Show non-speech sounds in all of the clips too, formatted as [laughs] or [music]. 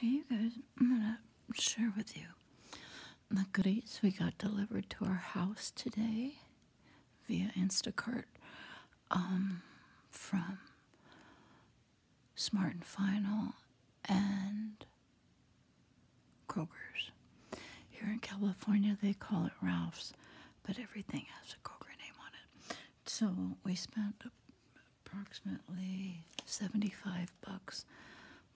Hey guys, I'm gonna share with you the goodies we got delivered to our house today via Instacart um, from Smart and Final and Kroger's. Here in California, they call it Ralph's, but everything has a Kroger name on it. So we spent approximately 75 bucks,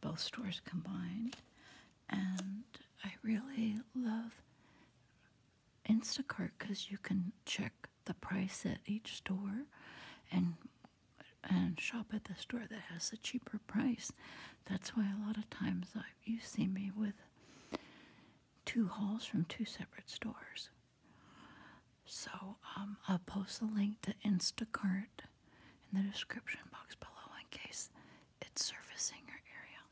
both stores combined. And I really love Instacart because you can check the price at each store and and shop at the store that has the cheaper price. That's why a lot of times I, you see me with two hauls from two separate stores. So um, I'll post a link to Instacart in the description box below in case it's surfacing your area.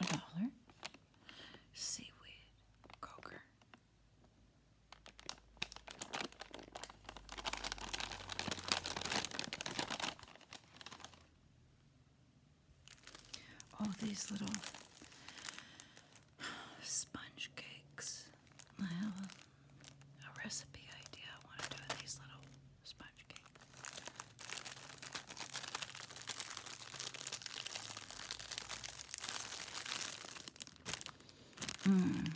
A dollar. Seaweed. Coker. All these little sponge cakes. I have a, recipe idea. I want to do these little sponge cakes. Mm.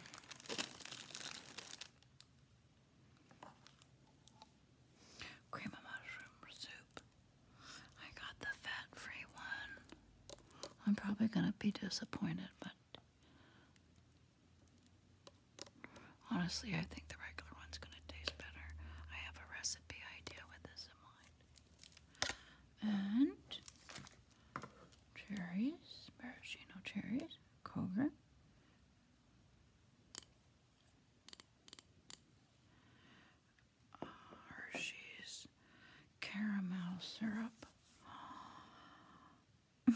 Cream of mushroom soup. I got the fat free one. I'm probably going to be disappointed, but honestly, I think the regular one's going to taste better. I have a recipe idea with this in mind. And cherries, maraschino cherries, Kroger, Hershey's caramel syrup. [laughs] I'm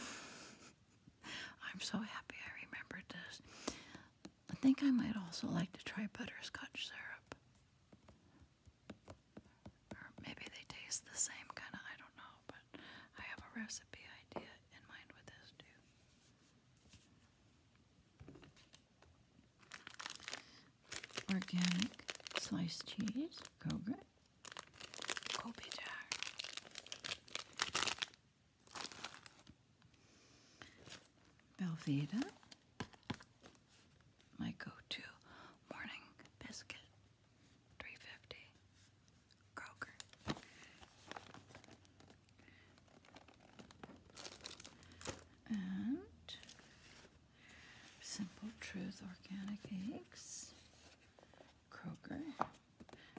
so happy I remembered this. I think I might also like to try butterscotch syrup. Or maybe they taste the same, kind of, I don't know, but I have a recipe idea in mind with this too. Organic sliced cheese, Kobe, Kobe Jack. Belvita, my go-to morning biscuit, 350. Kroger. And Simple Truth Organic Eggs. Kroger.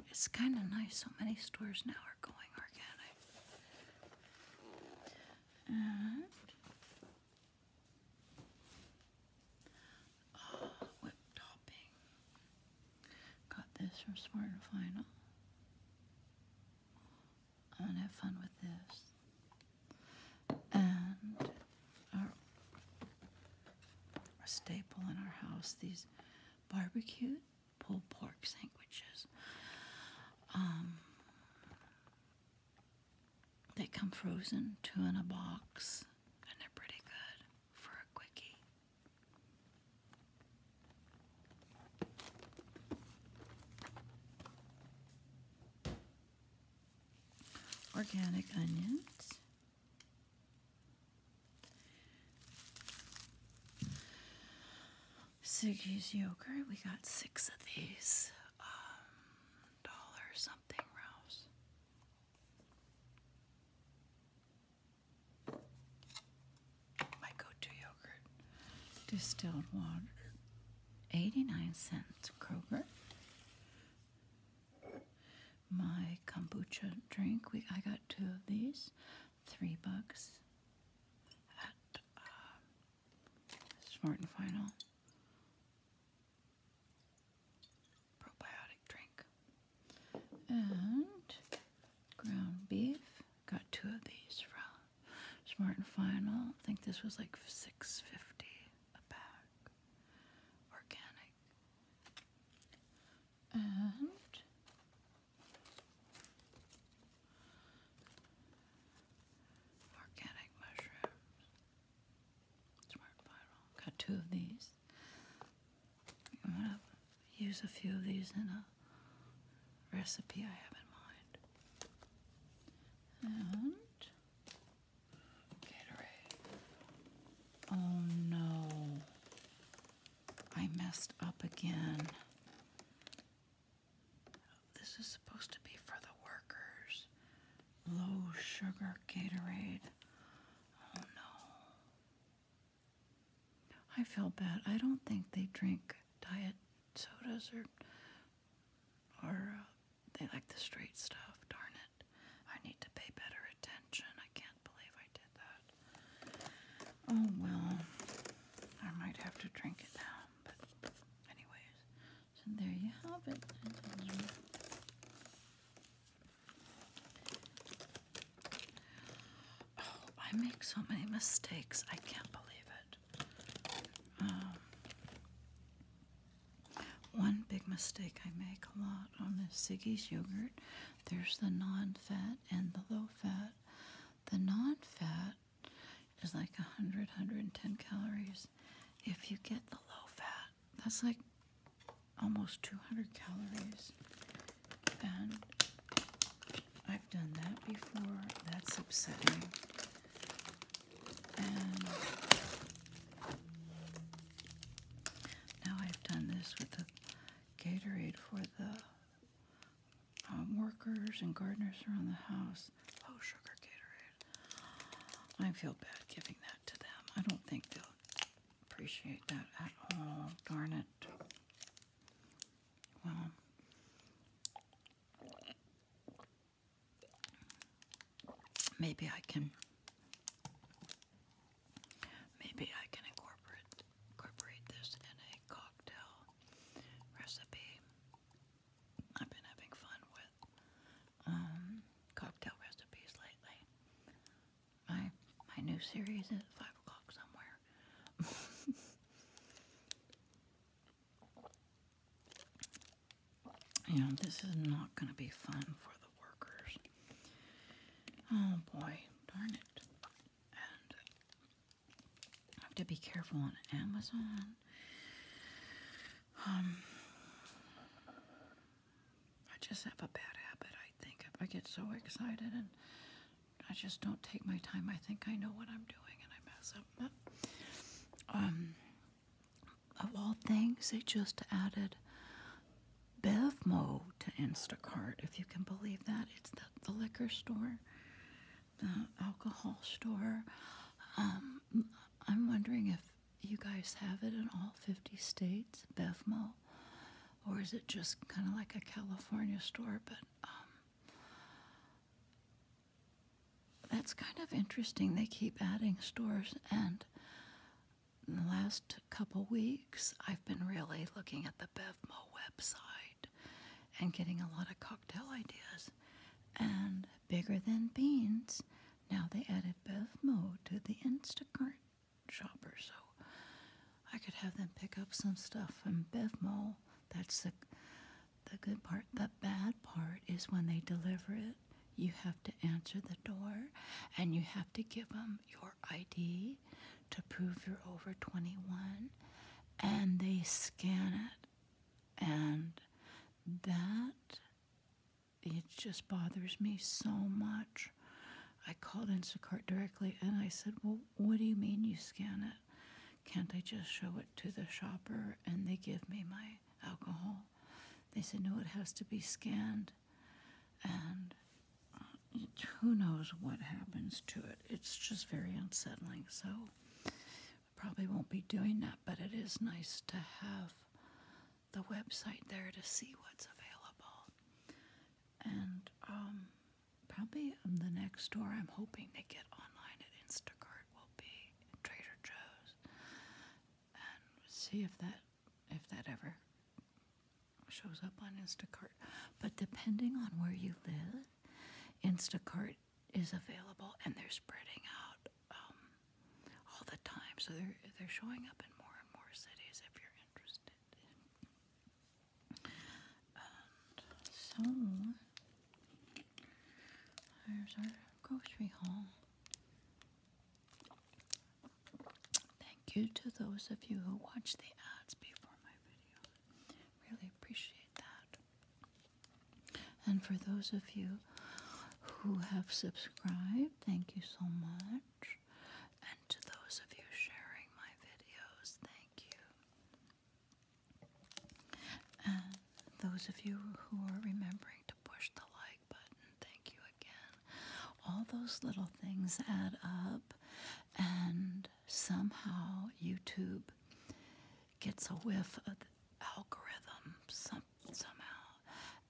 It's kind of nice. So many stores now are going organic. And Oh, whip topping. Got this from Smart and Final. I'm gonna have fun with this. And our, staple in our house, these barbecue pulled pork sandwiches. Um, they come frozen, two in a box, and they're pretty good for a quickie. Organic onions. Siggy's yogurt. We got six of these. Um, dollar something rouse. My go-to yogurt, distilled water, 89 cents Kroger. My kombucha drink, we I got two of these, three bucks at uh, Smart and Final probiotic drink. And ground beef. Got two of these from Smart and Final. I think this was like six fifty a bag. Organic. And organic mushrooms. Smart viral. Got two of these. I'm gonna use a few of these in a recipe I have in mind. And Gatorade. Oh no. I messed up again. This is supposed to be for the workers. Low sugar Gatorade. Oh no. I feel bad. I don't think they drink diet sodas or or uh, they like the straight stuff. Darn it. I need to pay better attention. I can't believe I did that. Oh well. I might have to drink it now. But anyways, so there you have it. Oh, I make so many mistakes. I can't believe it. Um, one big mistake I make a lot on the Siggy's yogurt there's the non fat and the low fat. The non fat is like 100, 110 calories. If you get the low fat, that's like almost 200 calories and I've done that before that's upsetting and now I've done this with the Gatorade for the um, workers and gardeners around the house. Low oh, sugar Gatorade. I feel bad giving that to them. I don't think they'll appreciate that at all. Darn it. Well, maybe I can. Maybe I can incorporate incorporate this in a cocktail recipe. I've been having fun with with um, cocktail recipes lately. My my new series at five o'clock somewhere. [laughs] you know, this is not going to be fun for the workers. Oh boy, darn it. I have to be careful on Amazon um, I just have a bad habit, I think. I get so excited and I just don't take my time. I think I know what I'm doing and I mess up. Um, of all things, they just added Bevmo to Instacart, if you can believe that. It's the, liquor store, the alcohol store. Um, I'm wondering if you guys have it in all 50 states, BevMo? Or is it just kind of like a California store? But um, that's kind of interesting. They keep adding stores. And the last couple weeks, I've been really looking at the BevMo website and getting a lot of cocktail ideas. And bigger than beans now they added BevMo to the Instacart shopper, so I could have them pick up some stuff from BevMo. That's the the good part. The bad part is when they deliver it, you have to answer the door and you have to give them your ID to prove you're over 21 and they scan it and that, it just bothers me so much. I called Instacart directly and I said, Well, what do you mean you scan it? Can't I just show it to the shopper and they give me my alcohol? They said, No, it has to be scanned. And uh, who knows what happens to it? It's just very unsettling. So Probably won't be doing that, but it is nice to have the website there to see what's available. And um, probably the next store I'm hoping to get online at Instacart will be Trader Joe's, and see if that if that ever shows up on Instacart. But depending on where you live, Instacart is available and they're spreading out um, all the time. So they're they're showing up in more and more cities if you're interested. so there's our grocery haul. Thank you to those of you who watch the ads before my video. Really appreciate that. And for those of you who have subscribed, thank you so much. And to those of you sharing my videos, thank you. And those of you who are remembering to push the like button, thank you again. All those little things add up, and somehow YouTube gets a whiff of algorithm somehow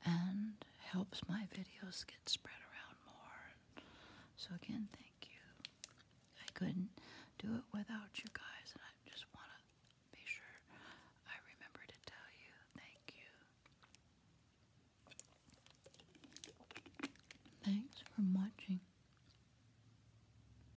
and helps my videos get spread around more. So, again, thank you. I couldn't do it without you guys, and I just want to be sure I remember to tell you thank you. Thanks for watching.